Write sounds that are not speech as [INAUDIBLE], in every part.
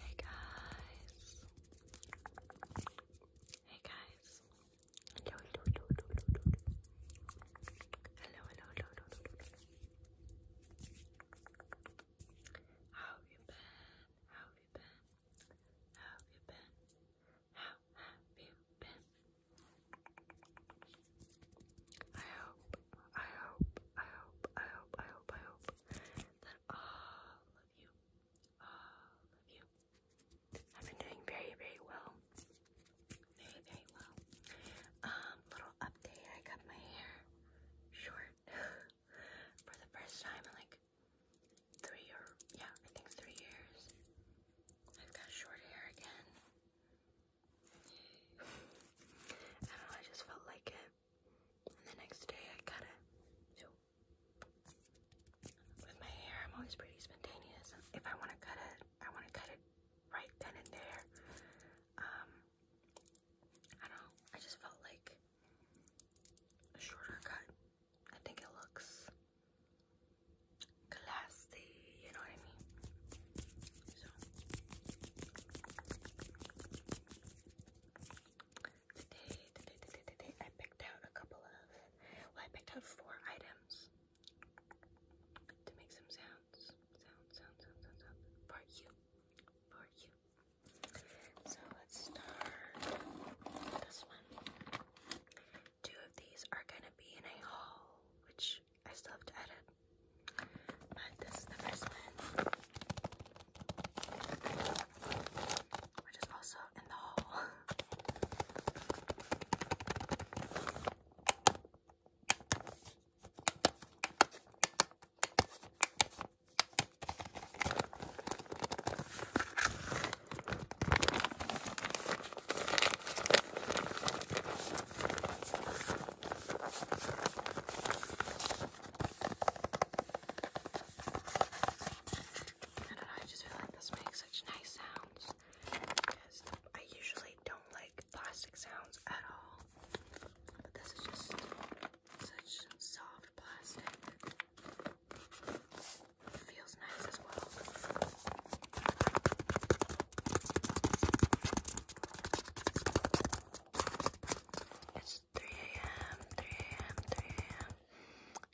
Hey guys. Hey guys. Hello, hello, hello, hello, hello, hello. Hello, hello, hello, hello, hello. How have you been? How have you been? How have you been? How have you been? I hope I hope, I hope, I hope, I hope, I hope that all of you, all of you have been doing very, very well. Very, very well. Um, little update, I cut my hair short [LAUGHS] for the first time in like three or yeah, I think three years. I've got short hair again. I just felt like it. the next day I cut it. with my hair, I'm always pretty spontaneous. If I want to cut it, I want to cut it right then and there. Um, I don't I just felt like a shorter cut. I think it looks classy, you know what I mean? So today, today, today, today, I picked out a couple of, well, I picked out four items to make some sounds, sound, sound, sound, sound, sound for you, for you. So let's start this one. Two of these are gonna be in a haul, which I still have to edit. But this is the first one. Which is also in the hall. I just feel like this makes such nice sounds I usually don't like plastic sounds at all. But this is just such soft plastic. feels nice as well. It's 3 a.m., 3 a.m., 3 a.m.,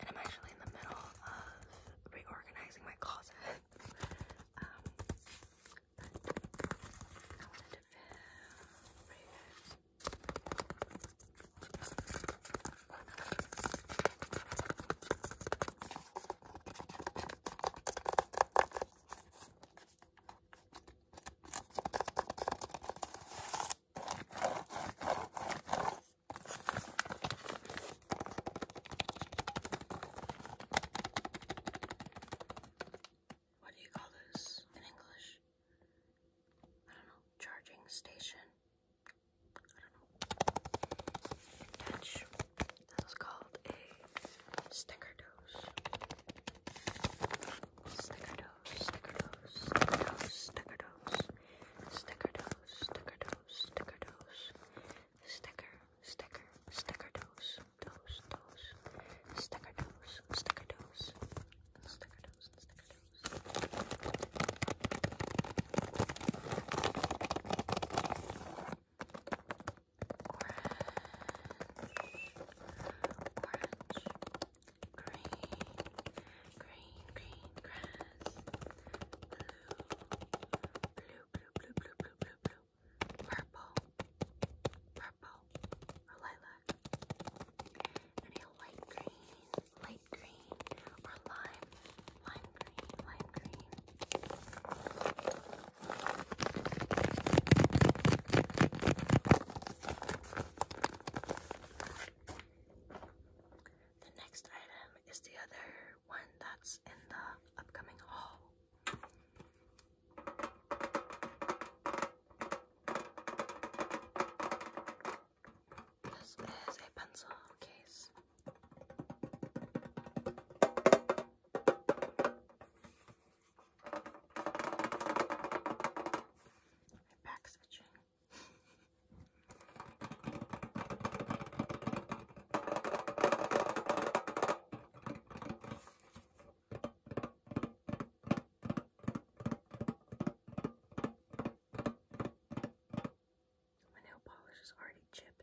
and I'm actually in the middle of reorganizing my closet. [LAUGHS] Um, what do you call this in English? I don't know, charging station. I don't know. That was called a sticker Snickerdoes, Snickerdoes, Snickerdoes, Snickerdoes, Snickerdoes, Snickerdoes, Snickerdoes, Snicker, Snicker, Snickerdoes, Does, Does, Snickerdoes, Snickerdoes, Snickerdoes, Snickerdoes orange, green, green, green grass, blue, blue, blue, blue, blue, blue, blue, blue, purple, purple, or lilac, any light green, light green, or lime, lime green, lime green. The next item is the other one that's in the upcoming haul. This is a pencil case. My back's itching. nail polish is already chipped.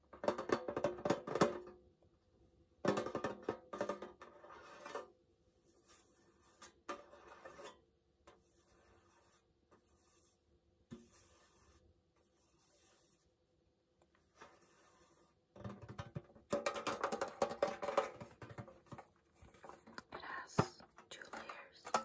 It has two layers.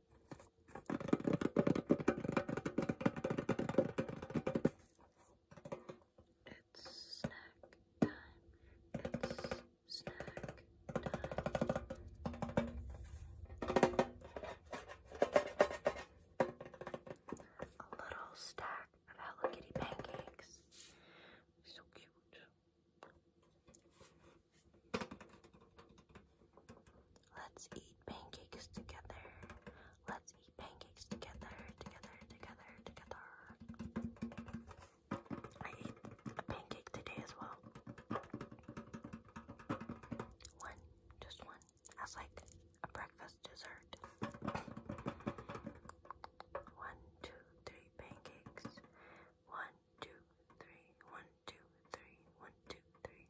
It's snack time. It's snack time. A little stack of Hello Kitty pancakes. So cute. Let's eat pancakes together. Let's eat pancakes together, together, together, together. I ate a pancake today as well. One, just one, as like a breakfast dessert. one, two, three pancakes. One, two, three. One, two, three, one, two, three.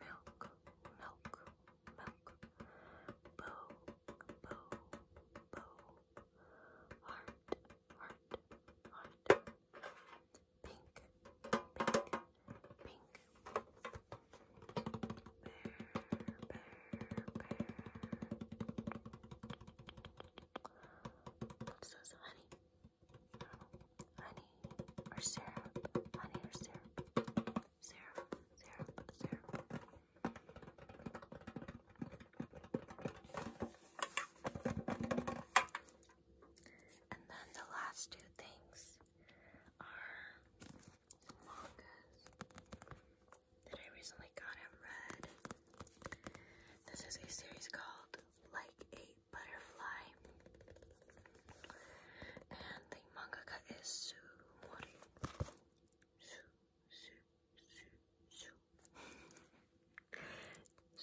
Milk, milk, milk. Bow, bow, bow. Heart, heart, heart. Pink, pink, pink. Bear, bear, bear. This is honey honey or syrup, honey or syrup, syrup, syrup, syrup. And then the last two things are mangas that I recently got in red. This is a series called like a butterfly. And the mangaka is Sumori. Su, su, su, su.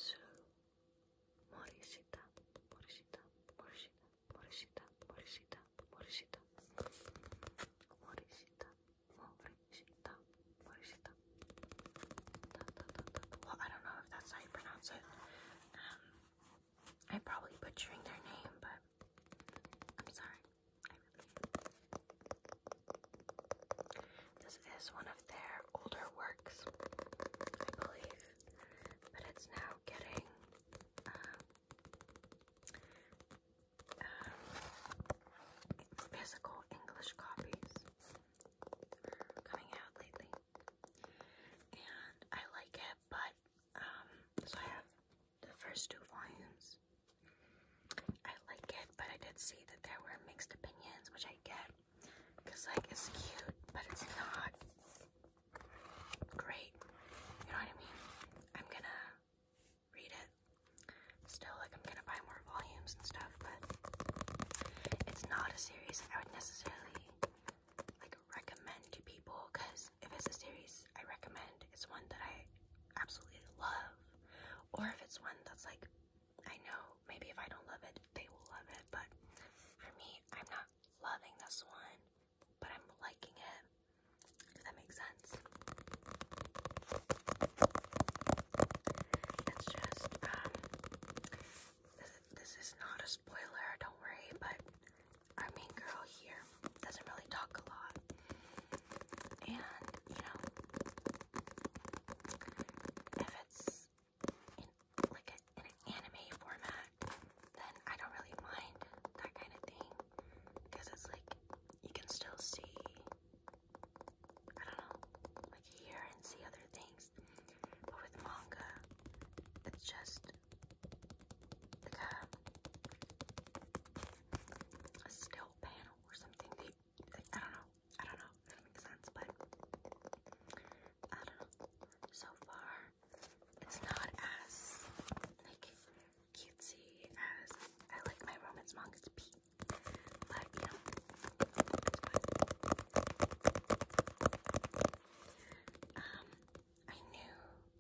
su. Morishita, Morishita, Morishita, Morishita, Morishita, Morishita. Morishita, Morishita, Morishita. Da, da, da, da. Well, I don't know if that's how you pronounce it. I'm probably butchering their name, but I'm sorry. this is one of their older works, I believe, but it's now getting um, um, physical English copies. Coming out lately and I like it, but um, so I have the first two volumes. I like it, but I did see that there were mixed opinions, which I get, because like it's cute, but it's not great. You know what I mean? I'm gonna read it still, like I'm gonna buy more volumes and stuff, but it's not a series I would necessarily like recommend to people because if it's a series I recommend, it's one that I absolutely love, or if it's one that's like I know maybe if I don't love it, they will love it. But for me, I'm not loving this one, but I'm liking it. Does that make sense? It's just um, this is not a spoiler, don't worry, but our main girl here doesn't really talk a lot. And, you know, if it's in like an anime format, then I don't really mind that kind of thing. Because it's like you can still see, I don't know, like hear and see other things. But with manga, it's just like a, still panel or something. I don't know. I don't know if that makes sense, but I don't know. So far, it's not as like cutesy as I like my romance mangas to be. But you know, um, I knew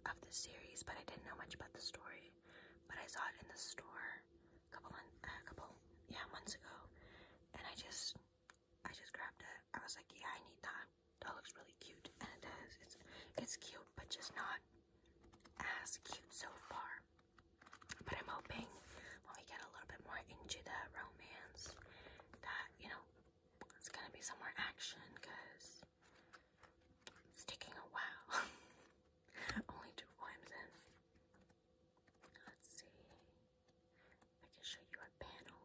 of the series, but I didn't know much about the story. But I saw it in the store a couple months, uh, yeah, months ago, and I just, I just grabbed it. I was like, yeah, I need that. That looks really cute, and it does. It's, it's cute, but just not as cute so far. But I'm hoping when we get a little bit more into the realm romance that, you know, it's gonna be some more action because it's taking a while. [LAUGHS] Only two poems in. Let's see. I can show you a panel.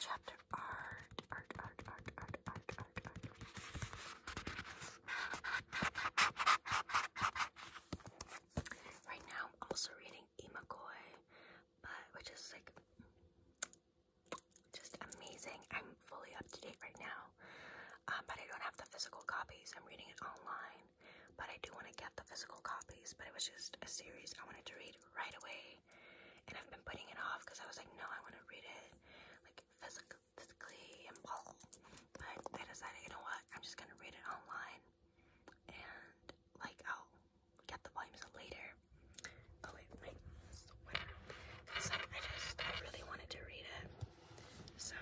chapter Right now, I'm also reading E. McCoy, but which is like just amazing. I'm fully up to date right now, um, but I don't have the physical copies. I'm reading it online, but I do want to get the physical copies. But it was just a series I wanted to read right away and I've been putting it off because I was like, no, I want to read it, like physic physically and blah. But I decided, you know what? I'm just gonna read it online, and like I'll get the volumes later. Oh like I just, I really wanted to read it, so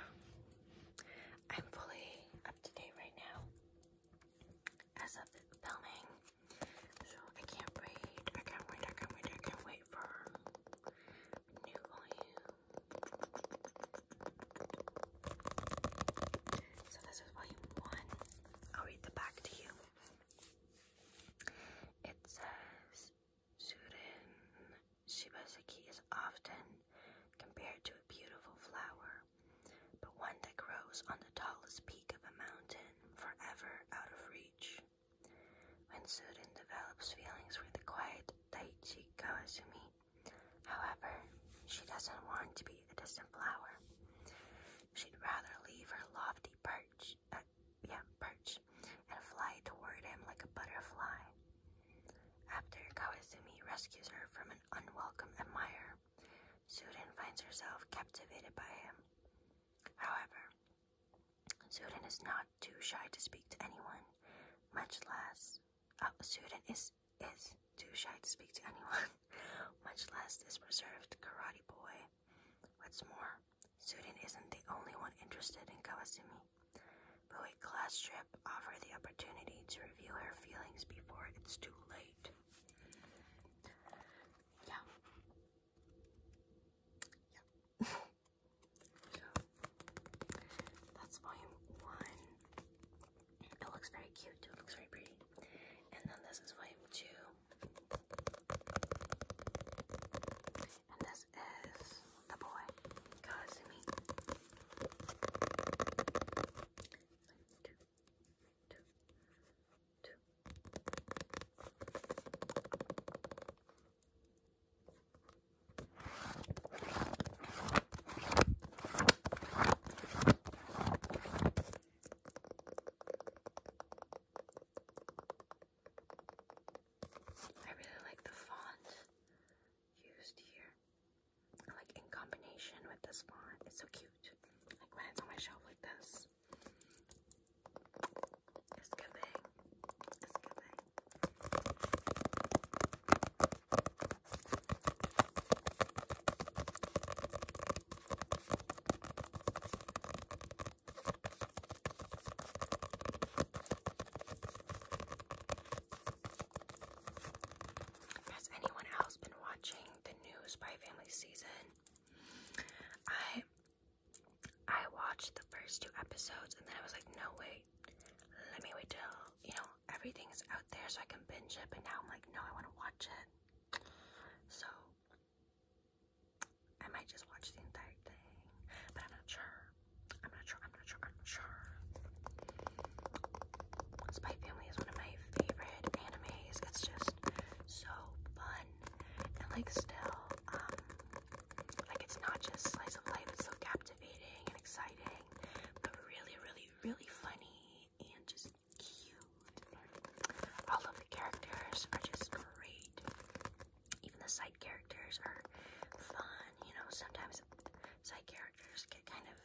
I'm fully up to date right now as of filming. So I can't wait. I can't wait. I can't wait. I can't wait for new volume. So this is volume one. I'll read the back to you. It says Sudan Shibasaki is often compared to a beautiful flower, but one that grows on the the tallest peak of a mountain, forever out of reach. When Surin develops feelings for the quiet Daichi Kawazumi, however, she doesn't want to be a distant flower. She'd rather leave her lofty perch, uh, yeah, perch, and fly toward him like a butterfly. After Kawazumi rescues her from an unwelcome admirer, Sudan finds herself captivated by him. However, Sudan is not too shy to speak to anyone, much less. Uh, Sudan is is too shy to speak to anyone, [LAUGHS] much less this reserved karate boy. What's more, Sudan isn't the only one interested in Kawasumi. But a class trip offers the opportunity to reveal her feelings before it's too late. Yeah. Yeah. so, [LAUGHS] that's volume one. It looks very cute, too. It looks very pretty. And then this is volume two. And this is the boy. Kazumi. Two. I really like the font used here. Like in combination with this font, it's so cute. Like when it's on my shelf like this, it's a good thing. It's a good thing. Has anyone else been watching the new Spy Family season? I I watched the first two episodes and then I was like, no wait, let me wait till you know everything is out there so I can binge it. But now I'm like, no, I want to watch it. So I might just watch the entire thing, I'm not sure. I'm not sure. I'm not sure. Spy Family is one of my favorite animes. It's just so fun and like still um like it's not just slice of life, it's so captivating and exciting, but really, really, really funny and just cute. All of the characters are just great. Even the side characters are fun, you know, sometimes side characters get kind of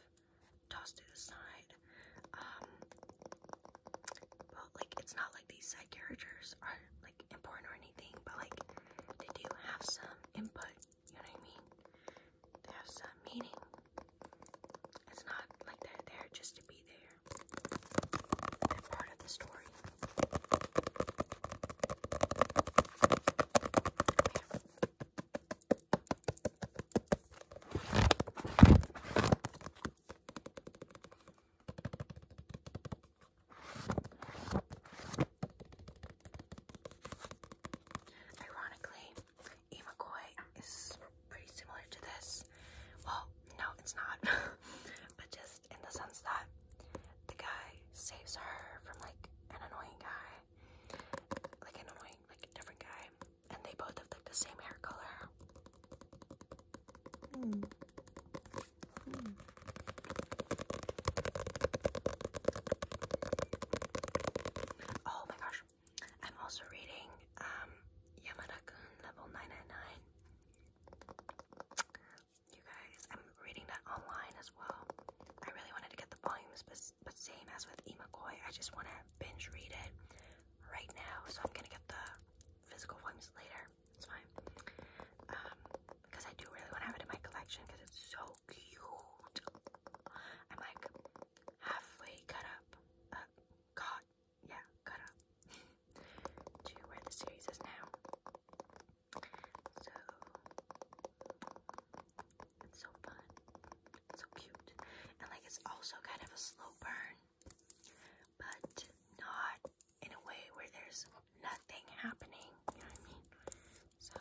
tossed to the side um, weird. like, it's not like these side characters are like important or anything, but like, they do have some input, you know what I mean? They have some meaning. It's not like they're there just to be there. They're part of the story. Ironically, Imakoi is pretty similar to this. Well, no, it's not. [LAUGHS] but just in the sense that the guy saves her from like an annoying guy. Like an annoying, like a different guy and they both have like the same hair color. Hmm. Oh my gosh. I'm also reading um Yamada-kun level 999. You guys, I'm reading that online as well. I really wanted to get the volumes, but, same as with E. McCoy, I just want to binge read it right now, so I'm gonna get the physical ones later. It's fine. Um, because I do really want to have it in my collection because it's so cute. I'm like halfway cut up. Uh, caught. Yeah, cut up. [LAUGHS] to where the series is now. So, it's so fun. so cute. And like it's also kind of a slow burn but not in a way where there's nothing happening, you know what I mean? So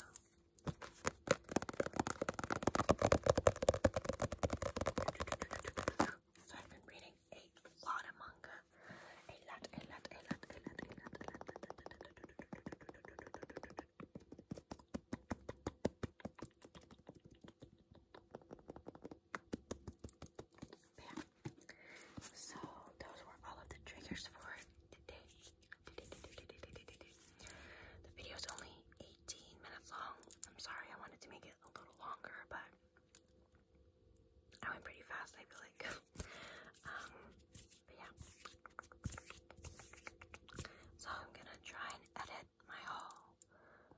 so I've been reading a lot of manga. Yeah. So those were all of the triggers for today. The video is only 18 minutes long. I'm sorry I wanted to make it a little longer, but I went pretty fast, I feel like. [LAUGHS] um, yeah. So I'm gonna try and edit my haul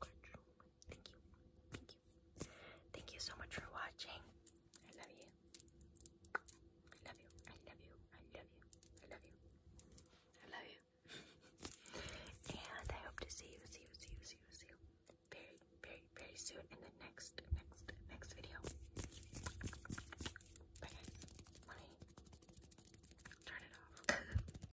Thank you. Thank you. Thank you so much for watching. I love you. I love you. I love you. I love you. I love you. I love you. and I hope to see you, see you, see you, see you, see you very, very, very soon in the next, next, next video. Bye turn it off. [LAUGHS]